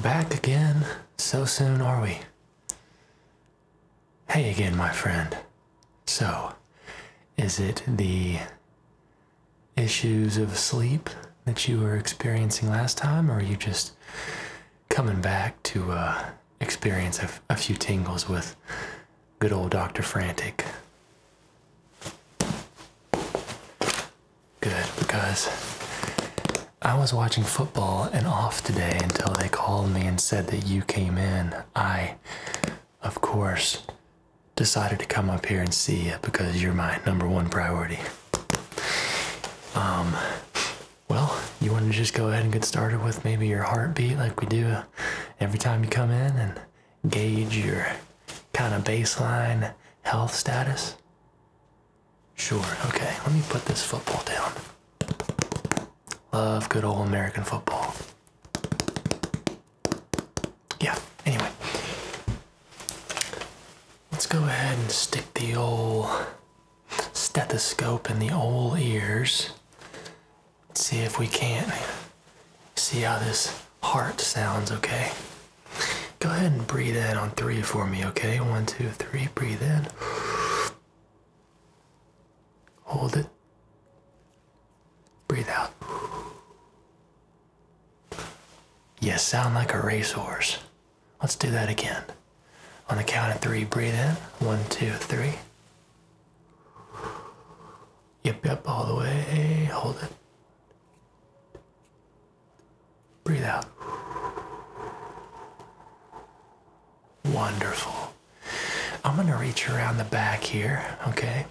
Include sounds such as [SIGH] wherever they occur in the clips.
Back again? So soon are we? Hey again, my friend. So, is it the issues of sleep that you were experiencing last time, or are you just coming back to uh, experience a few tingles with good old Dr. Frantic? good because I was watching football and off today until they called me and said that you came in. I, of course, decided to come up here and see you because you're my number one priority. Um, well, you want to just go ahead and get started with maybe your heartbeat like we do every time you come in and gauge your kind of baseline health status? Sure, okay, let me put this football down. Love good old American football. Yeah, anyway. Let's go ahead and stick the old stethoscope in the old ears. see if we can't see how this heart sounds, okay? Go ahead and breathe in on three for me, okay? One, two, three, breathe in. Hold it. Breathe out. You sound like a racehorse. Let's do that again. On the count of three, breathe in. One, two, three. Yep, yep, all the way. Hold it. Breathe out. Wonderful. I'm gonna reach around the back here, okay?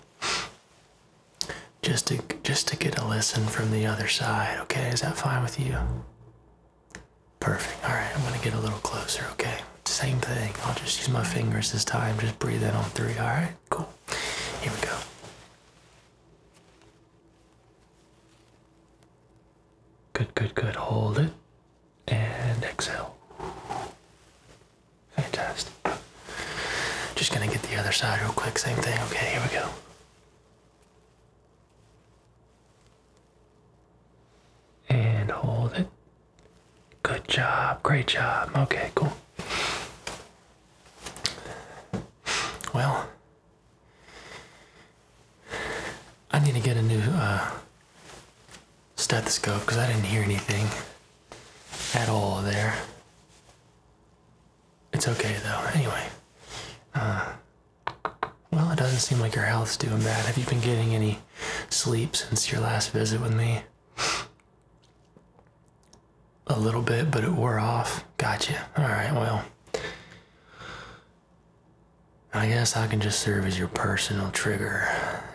Just to just to get a listen from the other side, okay? Is that fine with you? Perfect. All right, I'm gonna get a little closer, okay? Same thing. I'll just use my fingers this time. Just breathe in on three. All right, cool. Here we go. Good, good, good. Hold it and exhale. Fantastic. Just gonna get the other side real quick. Same thing. Okay, here we go. And hold it. Good job. Great job. Okay, cool. Well, I need to get a new uh, stethoscope because I didn't hear anything at all there. It's okay though. Anyway, uh, well, it doesn't seem like your health's doing bad. Have you been getting any sleep since your last visit with me? a little bit, but it wore off. Gotcha. All right, well, I guess I can just serve as your personal trigger,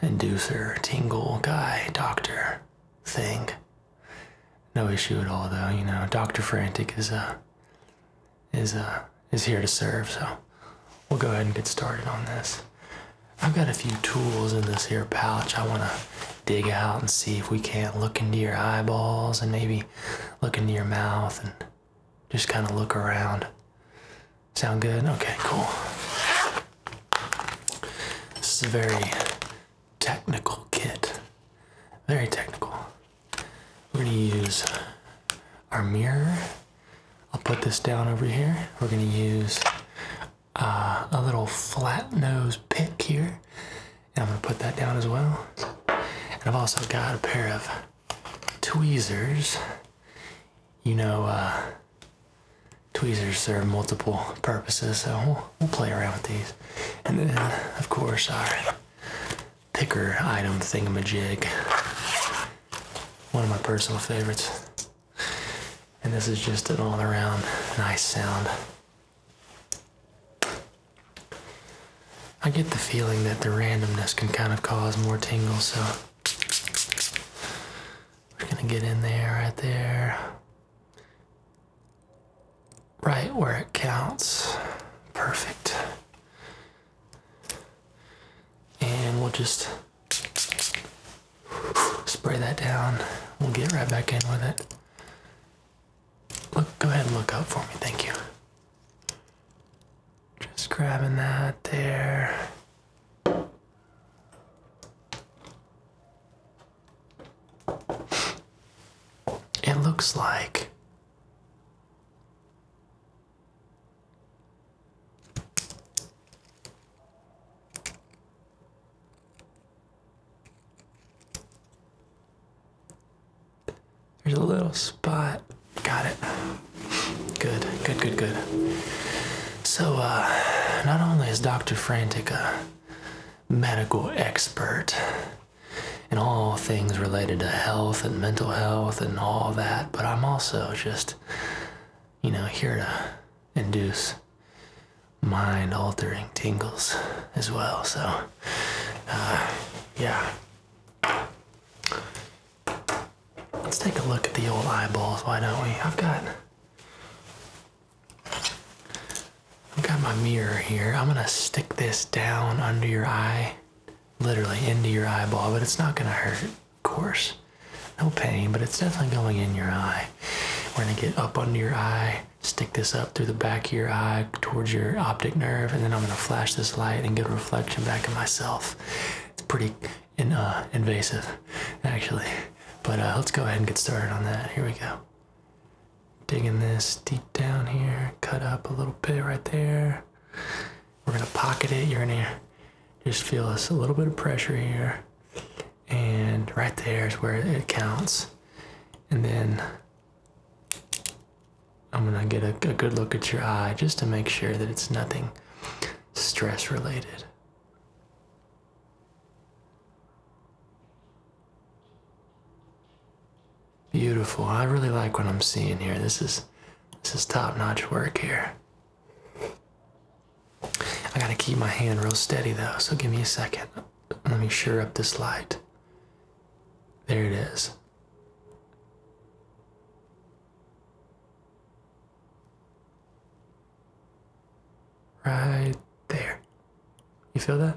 inducer, tingle, guy, doctor, thing. No issue at all, though. You know, Doctor Frantic is uh, is uh, is here to serve. So we'll go ahead and get started on this. I've got a few tools in this here pouch. I want to dig out and see if we can't look into your eyeballs and maybe look into your mouth and just kind of look around. Sound good? Okay, cool. This is a very technical kit. Very technical. We're gonna use our mirror. I'll put this down over here. We're gonna use uh, a little flat nose pick here I'm gonna put that down as well. And I've also got a pair of tweezers. You know, uh, tweezers serve multiple purposes, so we'll play around with these. And then, of course, our picker item thingamajig. One of my personal favorites. And this is just an all around nice sound. I get the feeling that the randomness can kind of cause more tingles, so we're gonna get in there, right there, right where it counts. Perfect. And we'll just spray that down. We'll get right back in with it. Look, go ahead and look out for me. Thank you. Just grabbing that there. It looks like there's a little spot. Got it. Good, good, good, good. So, uh, not only is Dr. Frantic a medical expert in all things related to health and mental health and all that, but I'm also just, you know, here to induce mind altering tingles as well. So, uh, yeah. Let's take a look at the old eyeballs, why don't we? I've got I've got my mirror here. I'm gonna stick this down under your eye, literally into your eyeball, but it's not gonna hurt, of course. No pain, but it's definitely going in your eye. We're gonna get up under your eye, stick this up through the back of your eye towards your optic nerve, and then I'm going to flash this light and get a reflection back of myself. It's pretty uh, invasive, actually. But uh, let's go ahead and get started on that. Here we go. Digging this deep down here, cut up a little bit right there. We're going to pocket it. You're going to just feel this a little bit of pressure here. And right there is where it counts. And then I'm gonna get a, good look at your eye just to make sure that it's nothing stress related. Beautiful. I really like what I'm seeing here. This is this is top-notch work here. I gotta keep my hand real steady though, so give me a second. Let me sure up this light. There it is. Right there. You feel that?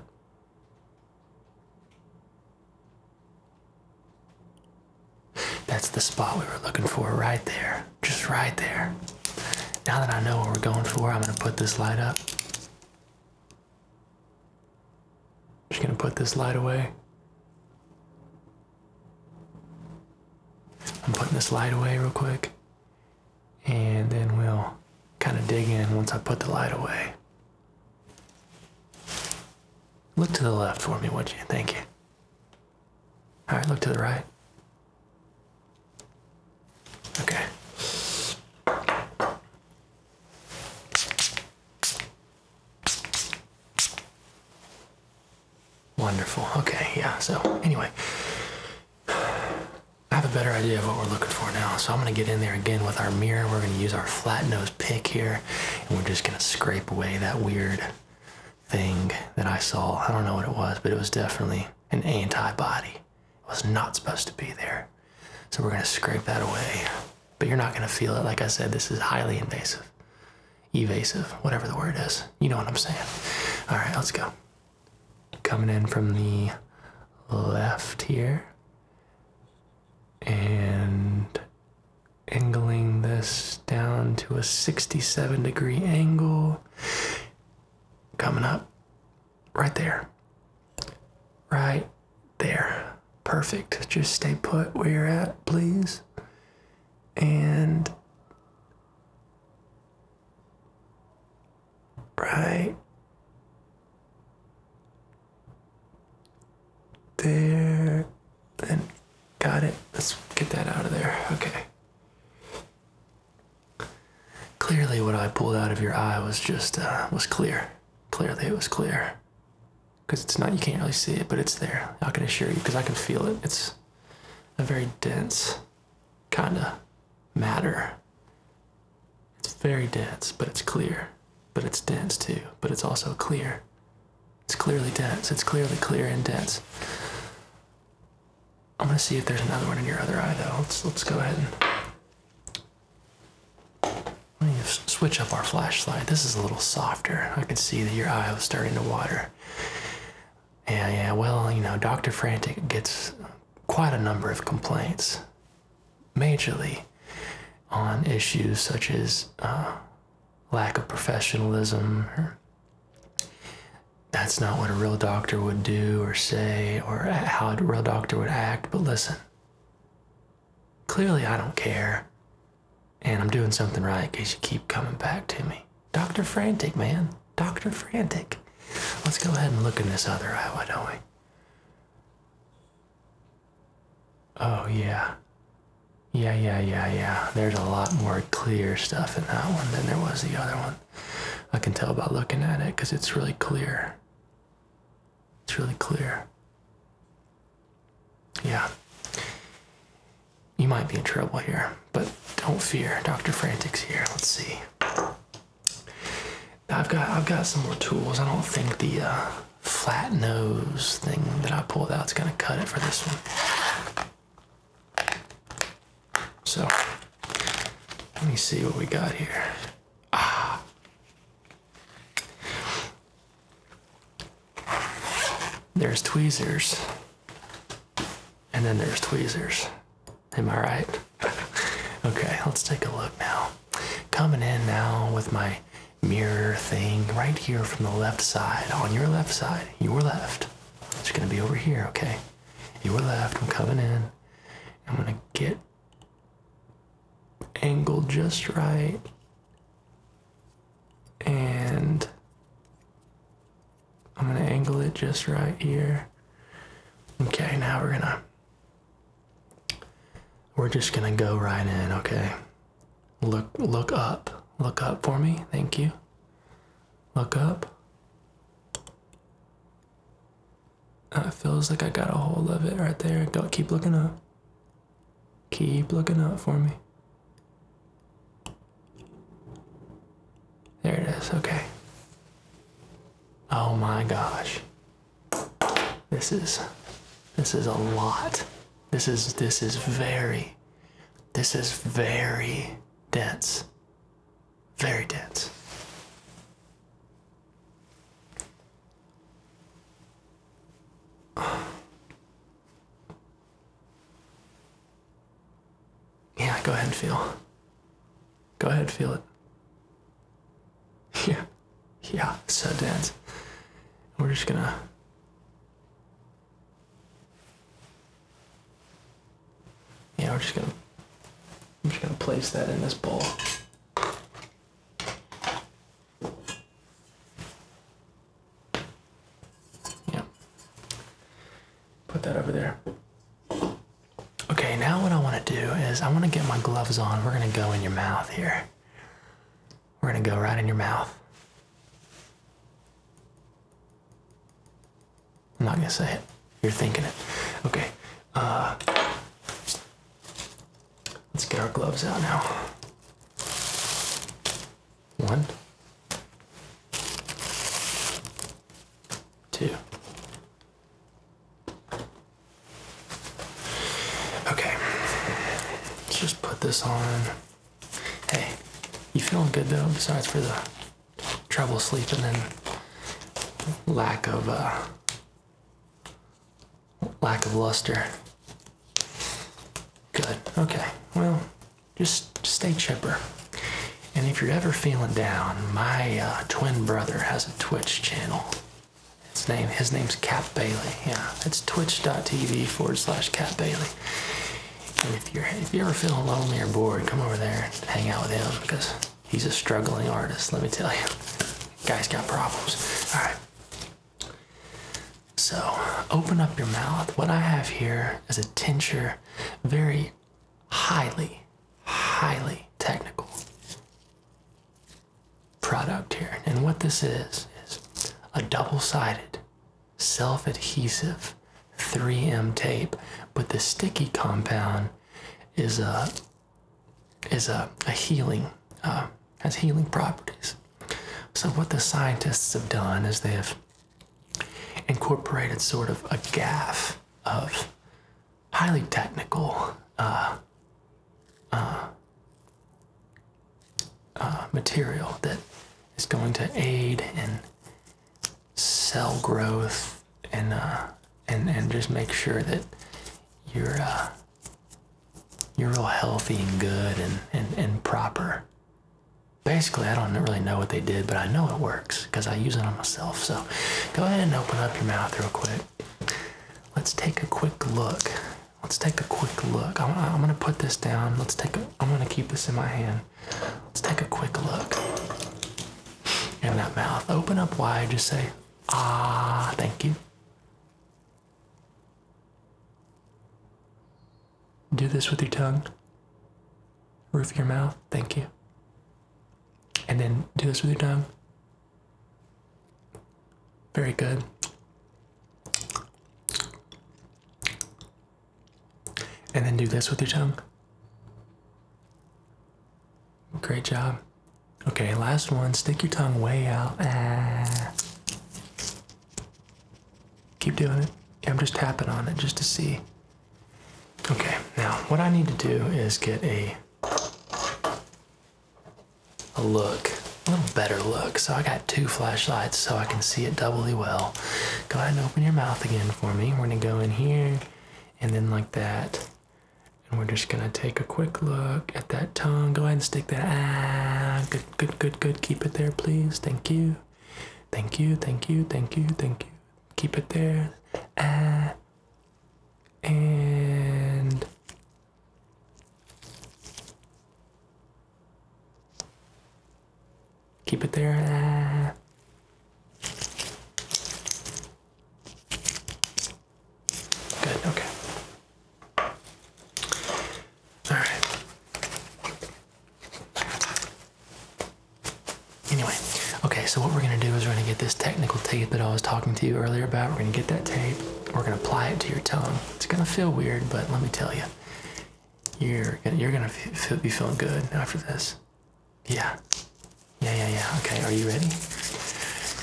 That's the spot we were looking for right there. Just right there. Now that I know what we're going for, I'm going to put this light up. Just gonna put this light away. I'm putting this light away real quick. And then we'll kind of dig in once I put the light away. Look to the left for me, would you? Thank you. All right, look to the right. Okay. Wonderful. Okay, yeah. So, anyway, I have a better idea of what we're looking for now. So, I'm going to get in there again with our mirror. We're going to use our flat nose pick here, and we're just going to scrape away that weird thing that I saw. I don't know what it was, but it was definitely an antibody. It was not supposed to be there. So we're gonna scrape that away, but you're not gonna feel it. Like I said, this is highly invasive, evasive, whatever the word is. You know what I'm saying. All right, let's go. Coming in from the left here and angling this down to a 67 degree angle. Coming up right there. Right there. Perfect. Just stay put where you're at, please. And right there. Then got it. Let's get that out of there. Okay. Clearly, what I pulled out of your eye was just uh, was clear. Clearly, it was clear because it's not you can't really see it but it's there i can assure you because i can feel it it's a very dense kind of matter it's very dense but it's clear but it's dense too but it's also clear it's clearly dense it's clearly clear and dense i'm gonna see if there's another one in your other eye though let's let's go ahead and let me switch up our flashlight. This is a little softer. I can see that your eye is starting to water. Yeah, yeah, well, you know, Dr. Frantic gets quite a number of complaints, majorly on issues such as uh, lack of professionalism, that's not what a real doctor would do or say, or how a real doctor would act. But listen, Clearly, I don't care. And I'm doing something right in case you keep coming back to me. Dr. Frantic, man. Dr. Frantic. Let's go ahead and look in this other eye, don't we? Oh, yeah. Yeah, yeah, yeah, yeah. There's a lot more clear stuff in that one than there was the other one. I can tell by looking at it because it's really clear. It's really clear. Yeah. You might be in trouble here, but don't fear. Dr. Frantic's here. Let's see. I've got I've got some more tools. I don't think the uh, flat nose thing that I pulled out is gonna cut it for this one. So let me see what we got here. Ah, there's tweezers. And then there's tweezers. Am I right? [LAUGHS] okay, let's take a look now. Coming in now with my mirror thing right here from the left side, on your left side, your left. It's gonna be over here, okay? Your left, I'm coming in. I'm gonna get angle just right and I'm gonna angle it just right here. Okay, now we're gonna we're just gonna go right in, okay? Look look up. Look up for me, thank you. Look up. Uh, it feels like I got a hold of it right there. Go, keep looking up. Keep looking up for me. There it is. Okay. Oh my gosh. This is this is a lot. This is this is very this is very dense. Very dense. [SIGHS] Yeah, go ahead and feel. Go ahead, and feel it. [LAUGHS] Yeah, yeah, so dance. We're just gonna. Yeah, we're just gonna. I'm just gonna place that in this bowl. Yeah. Put that over there. Okay, now what I want to do is I want to get my gloves on. We're going to go in your mouth here. We're going to go right in your mouth. I'm not going to say it. You're thinking it. Okay. Uh, Let's get our gloves out now. One, two. Okay, let's just put this on. Hey, you feeling good though, besides for the trouble sleeping and lack of uh, lack of luster. Good. Okay. Well, just stay chipper. And if you're ever feeling down, my uh, twin brother has a Twitch channel. His name, his name's Cap Bailey. Yeah, it's twitch.tv forward slash Cap Bailey. if you're if you're ever feeling lonely or bored, come over there and hang out with him because he's a struggling artist. Let me tell you, guy's got problems. All right. So, open up your mouth. What I have here is a tincture, very highly, highly technical product here. And what this is, is a double sided, self adhesive 3M tape, but the sticky compound is a is a, a healing, uh, has healing properties. So what the scientists have done is they have incorporated sort of a gaff of highly technical uh, uh, material that is going to aid in cell growth and and and just make sure that you're you're real healthy and good and, and, and proper. Basically, I don't really know what they did, but I know it works because I use it on myself. So go ahead and open up your mouth real quick. Let's take a quick look. Let's take a quick look. I'm, I'm going to put this down. Let's take a, I'm going to keep this in my hand. Let's take a quick look. In that mouth, open up wide, just say, ah, thank you. Do this with your tongue, roof of your mouth. Thank you. And then do this with your tongue. Very good. And then do this with your tongue. Great job. Okay, last one. Stick your tongue way out. Ah. Keep doing it. I'm just tapping on it just to see. Okay, now what I need to do is get a a look, a little better look. So I got two flashlights so I can see it doubly well. Go ahead and open your mouth again for me. We're gonna go in here and then like that. And we're just gonna take a quick look at that tongue. Go ahead and stick that. Ah, good, good, good, good. Keep it there, please. Thank you. Thank you, thank you, thank you, thank you. Keep it there. Ah. And. Keep it there. Ah. Good, okay. Alright. Anyway, okay, so what we're gonna do is we're gonna get this technical tape that I was talking to you earlier about. We're gonna get that tape, we're gonna apply it to your tongue. It's gonna feel weird, but let me tell you, you're gonna, you're gonna feel, be feeling good after this. Yeah. Yeah, yeah, yeah. Okay, are you ready?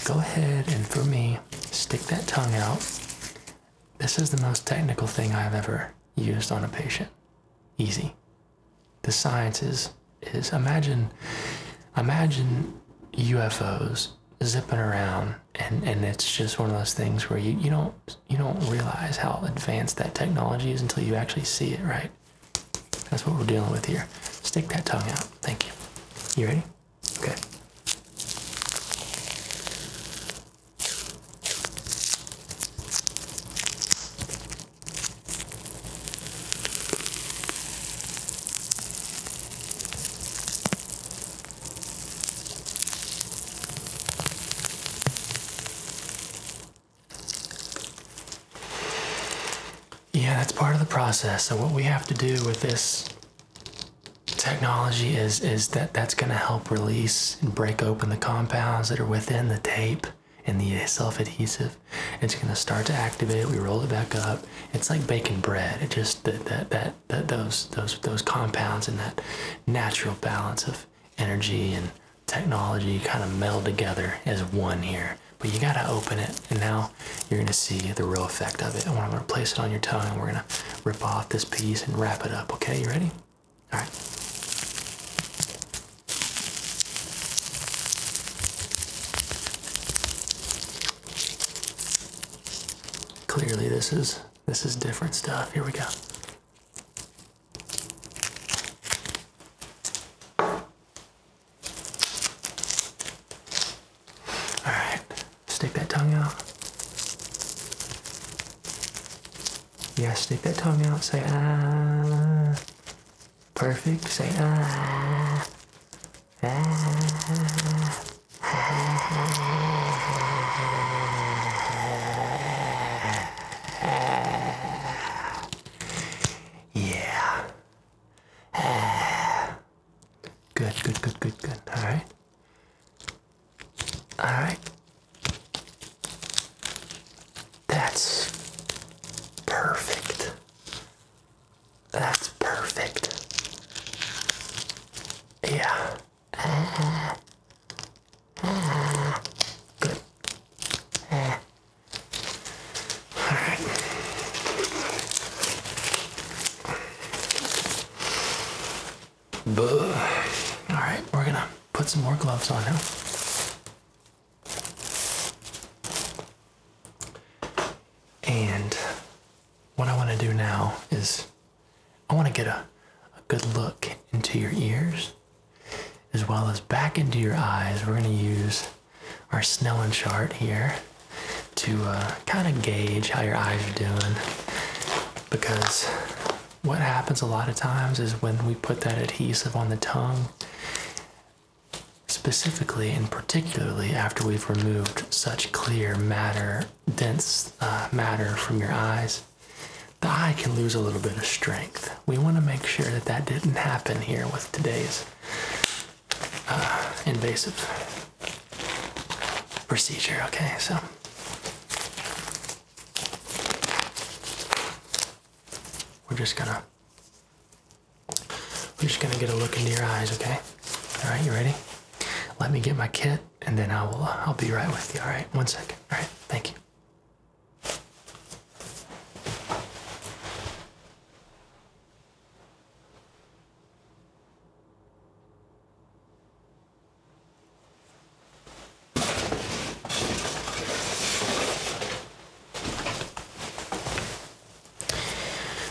Go ahead and for me, stick that tongue out. This is the most technical thing I've ever used on a patient. Easy. The science is is imagine imagine UFOs zipping around and, and it's just one of those things where you, you don't you don't realize how advanced that technology is until you actually see it, right? That's what we're dealing with here. Stick that tongue out. Thank you. You ready? Okay. Yeah, that's part of the process. So what we have to do with this technology is is that that's going to help release and break open the compounds that are within the tape and the self-adhesive it's going to start to activate we roll it back up it's like baking bread it just that that that, that those those those compounds and that natural balance of energy and technology kind of meld together as one here but you got to open it and now you're going to see the real effect of it. And I'm going to place it on your tongue, and we're going to rip off this piece and wrap it up. Okay, you ready? All right. Clearly, this is this is different stuff. Here we go. All right, stick that tongue out. Yeah, stick that tongue out. Say ah. Perfect. Say ah. Ah. Yeah. Ah. Good, good, good, good, good. All right. All right. That's perfect. That's perfect. Yeah. Ah. Ah. Good. Ah. All right. All right, we're gonna put some more gloves on now. And what I want to do now is I want to get a, a good look into your ears as well as back into your eyes. We're going to use our Snellen chart here to uh, kind of gauge how your eyes are doing because what happens a lot of times is when we put that adhesive on the tongue specifically and particularly after we've removed such clear matter dense uh, matter from your eyes the eye can lose a little bit of strength we want to make sure that that didn't happen here with today's uh, invasive procedure, okay? So. We're just gonna we're just gonna get a look into your eyes, okay? All right, you ready? Let me get my kit, and then I will uh, I'll be right with you. All right, one second. All right, thank you.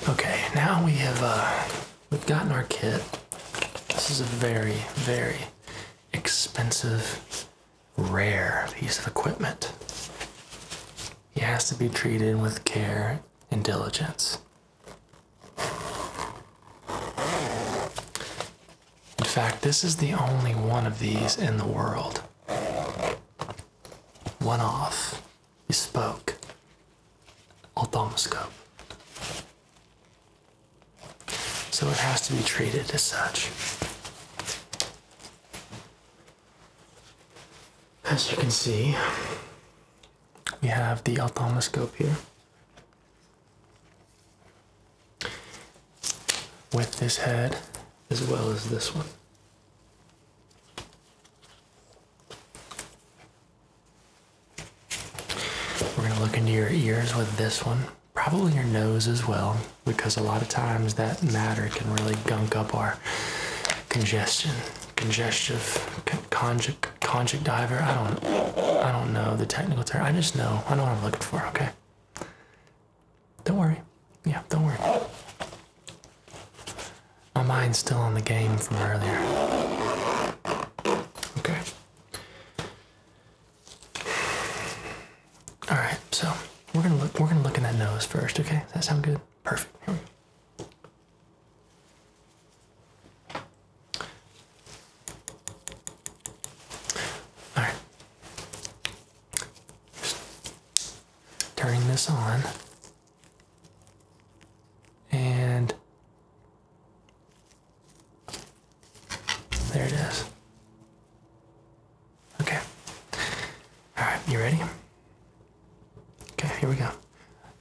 Okay, now we have uh, we've gotten our kit. This is a very, very expensive, rare piece of equipment. It has to be treated with care and diligence. In fact, this is the only one of these in the world. One off. You spoke. Ophthalmoscope. So it has to be treated as such. As you can see, we have the ophthalmoscope here. With this head as well as this one. We're going to look into your ears with this one, probably your nose as well, because a lot of times that matter can really gunk up our congestion, congestive, conjug, conjunctiver. I don't, I don't know the technical term. I just know. I know what I'm looking for. Okay. Don't worry. Yeah, don't worry. My mind's still on the game from earlier. Okay. All right. So we're gonna look. We're gonna look in that nose first. Okay. Does that sound good? Perfect. Here we go. All right. Just turning this on. And there it is. Okay. All right, you ready? Okay, here we go.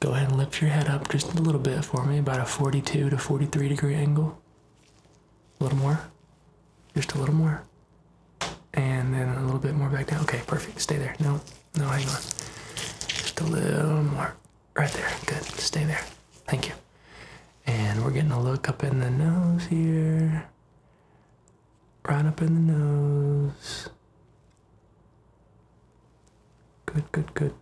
Go ahead and lift your head up just a little bit for me, about a 42 to 43 degree angle. A little more. Just a little more. And then a little bit more back down. Okay, perfect. Stay there. No, no, hang on. Just a little more. Right there. Good. Stay there. Thank you. And we're getting a look up in the nose here. Right up in the nose. Good, good, good.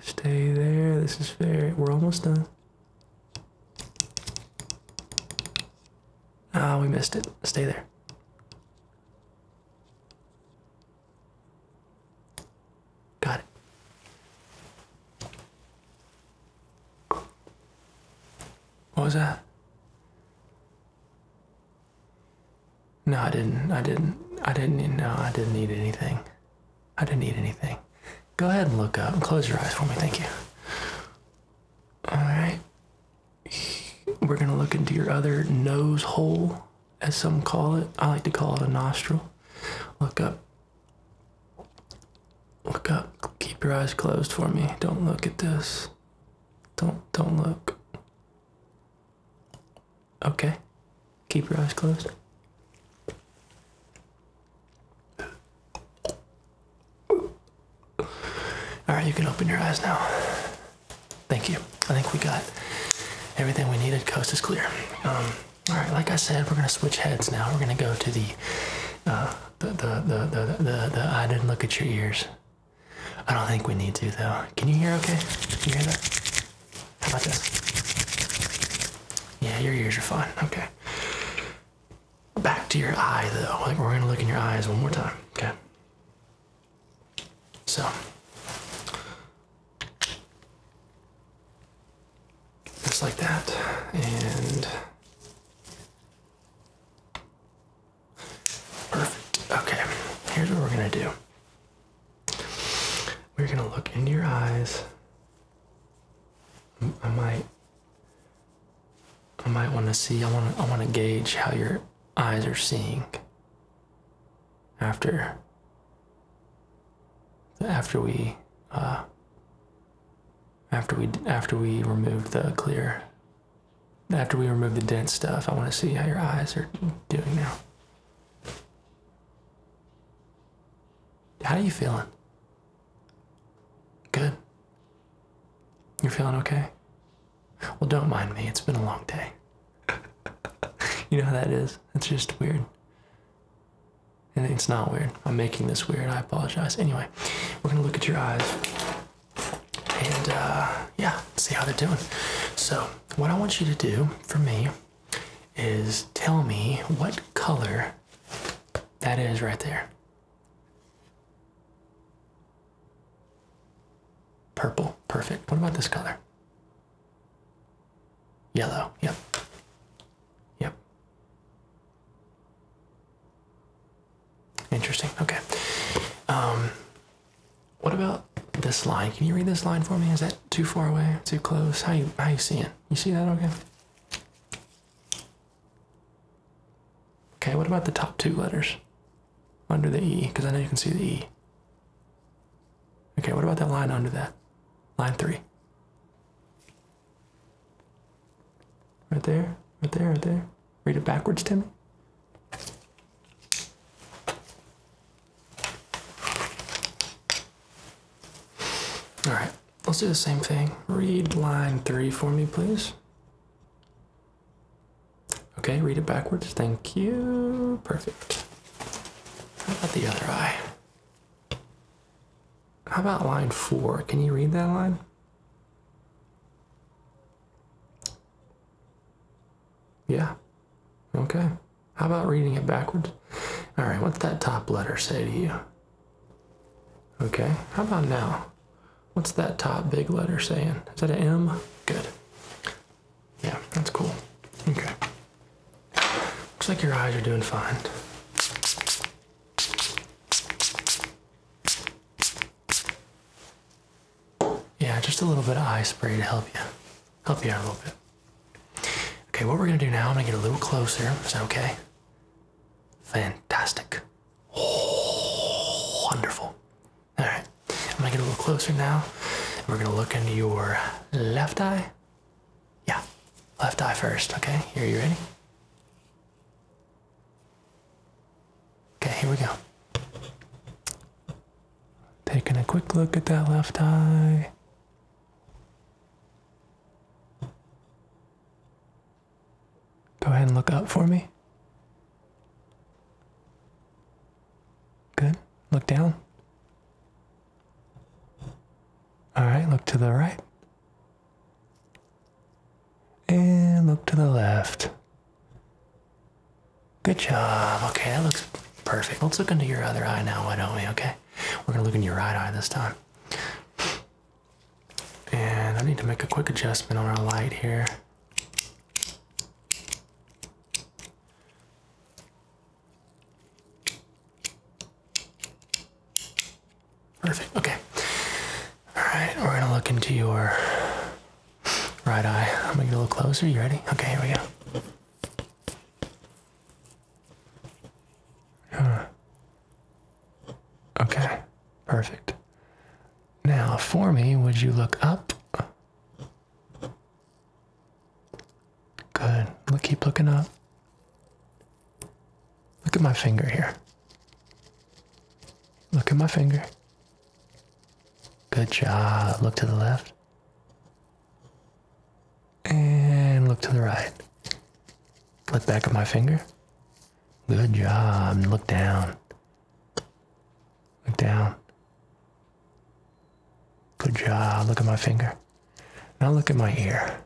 Stay there. This is fair. We're almost done. Ah, we missed it. Stay there. Got it. What was that? No, I didn't. I didn't. I didn't. No, I didn't need anything. I didn't need anything. Go ahead and look up and close your eyes for me. Thank you. All right. We're going to look into your other nose hole, as some call it. I like to call it a nostril. Look up. Look up. Keep your eyes closed for me. Don't look at this. Don't don't look. Okay. Keep your eyes closed. All right, you can open your eyes now. Thank you. I think we got everything we needed. Coast is clear. Um, all right, like I said, we're gonna switch heads now. We're gonna go to the uh, the, the, the, the, the, the, didn't look at your ears. I don't think we need to though. Can you hear okay? Can you hear that? How about this? Yeah, your ears are fine. Okay. Back to your eye though. Like we're gonna look in your eyes one more time. Okay. So just like that, and Perfect. Okay, here's what we're gonna do. We're gonna look into your eyes. I might I might want to see I want to I want to gauge how your eyes are seeing after after we uh after we after we remove the clear after we remove the dense stuff, I want to see how your eyes are doing now. How are you feeling? Good. You're feeling okay? Well, don't mind me. It's been a long day. [LAUGHS] you know how that is? It's just weird. And it's not weird. I'm making this weird. I apologize. Anyway, we're going to look at your eyes and uh, yeah, see how they're doing. So, what I want you to do for me is tell me what color that is right there. Purple, perfect. What about this color? Yellow, yep. Yep. Interesting. Okay. Um, what about this line? Can you read this line for me? Is that too far away? Too close? How you how you seeing? You see that? Okay. Okay. What about the top two letters under the E? Because I know you can see the E. Okay. What about that line under that? Line three. Right there, right there, right there. Read it backwards, Timmy. All right, let's do the same thing. Read line three for me, please. Okay, read it backwards. Thank you. Perfect. How about the other eye? How about line four? Can you read that line? Yeah. Okay. How about reading it backwards? All right, what's that top letter say to you? Okay, how about now? What's that top big letter saying? Is that an M? Good. Yeah, that's cool. Okay. Looks like your eyes are doing fine. Yeah, just a little bit of eye spray to help you, help you out a little bit. Okay, what we're gonna do now, I'm gonna get a little closer. Is that okay? Fantastic. Oh, wonderful. All right, I'm gonna get a little closer now. We're gonna look into your left eye. Yeah, left eye first, okay? Here, you ready? Okay, here we go. Taking a quick look at that left eye. Go ahead and look up for me. Good. Look down. All right, look to the right. And look to the left. Good job. Okay, that looks perfect. Let's look into your other eye now, why don't we? Okay, we're gonna look in your right eye this time. And I need to make a quick adjustment on our light here. Perfect. Okay. All right. We're going to look into your right eye. I'm going to get a little closer. You ready? Okay. Here we go. Huh. Okay. Perfect. Now, for me, would you look up? Good. Look, keep looking up. Look at my finger here. Look at my finger. Good job. Look to the left. And look to the right. Look back at my finger. Good job. Look down. Look down. Good job. Look at my finger. Now look at my ear.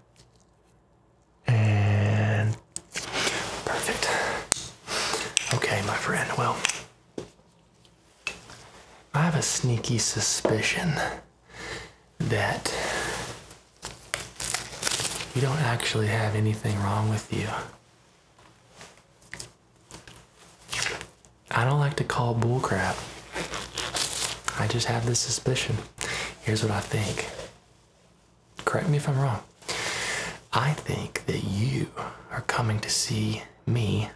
And perfect. Okay, my friend. Well, I have a sneaky suspicion that you don't actually have anything wrong with you. I don't like to call bullcrap. I just have this suspicion. Here's what I think Correct me if I'm wrong. I think that you are coming to see me,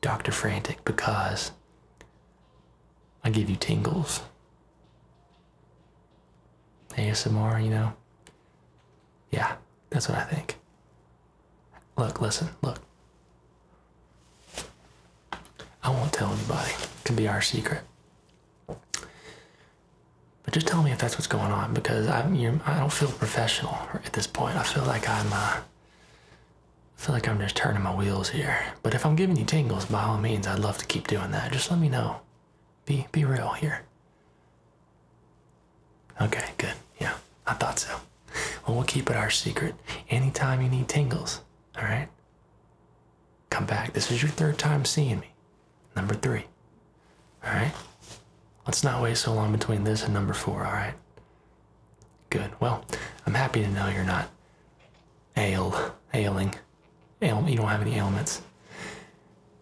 Dr. Frantic, because I give you tingles. ASMR, you know? Yeah, that's what I think. Look, listen, look. I won't tell anybody. It can be our secret. But just tell me if that's what's going on because I, you I don't feel professional at this point. I feel like I'm, uh, I feel like I'm just turning my wheels here. But if I'm giving you tingles, by all means, I'd love to keep doing that. Just let me know. Be be real here. Okay, good. Yeah, I thought so. Well, we'll keep it our secret. Anytime you need tingles, all right. Come back. This is your third time seeing me. Number three. All right? Let's not wait so long between this and number four, all right? Good. Well, I'm happy to know you're not ail, ailing. Ail, you don't have any ailments.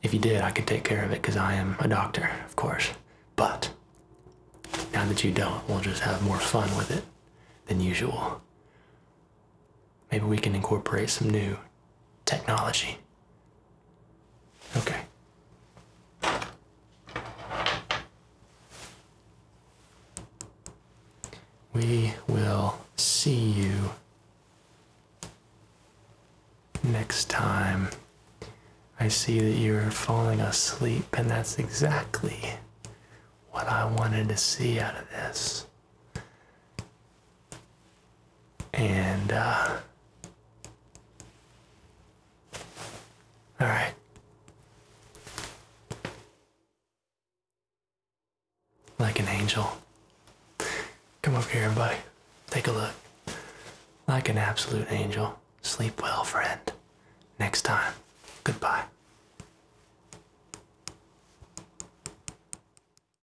If you did, I could take care of it because I am a doctor, of course. But now that you don't, we'll just have more fun with it than usual maybe we can incorporate some new technology. Okay. We will see you next time. I see that you're falling asleep, and that's exactly what I wanted to see out of this. And, uh, all right. Like an angel. Come over here, buddy. Take a look. Like an absolute angel. Sleep well, friend. Next time. Goodbye.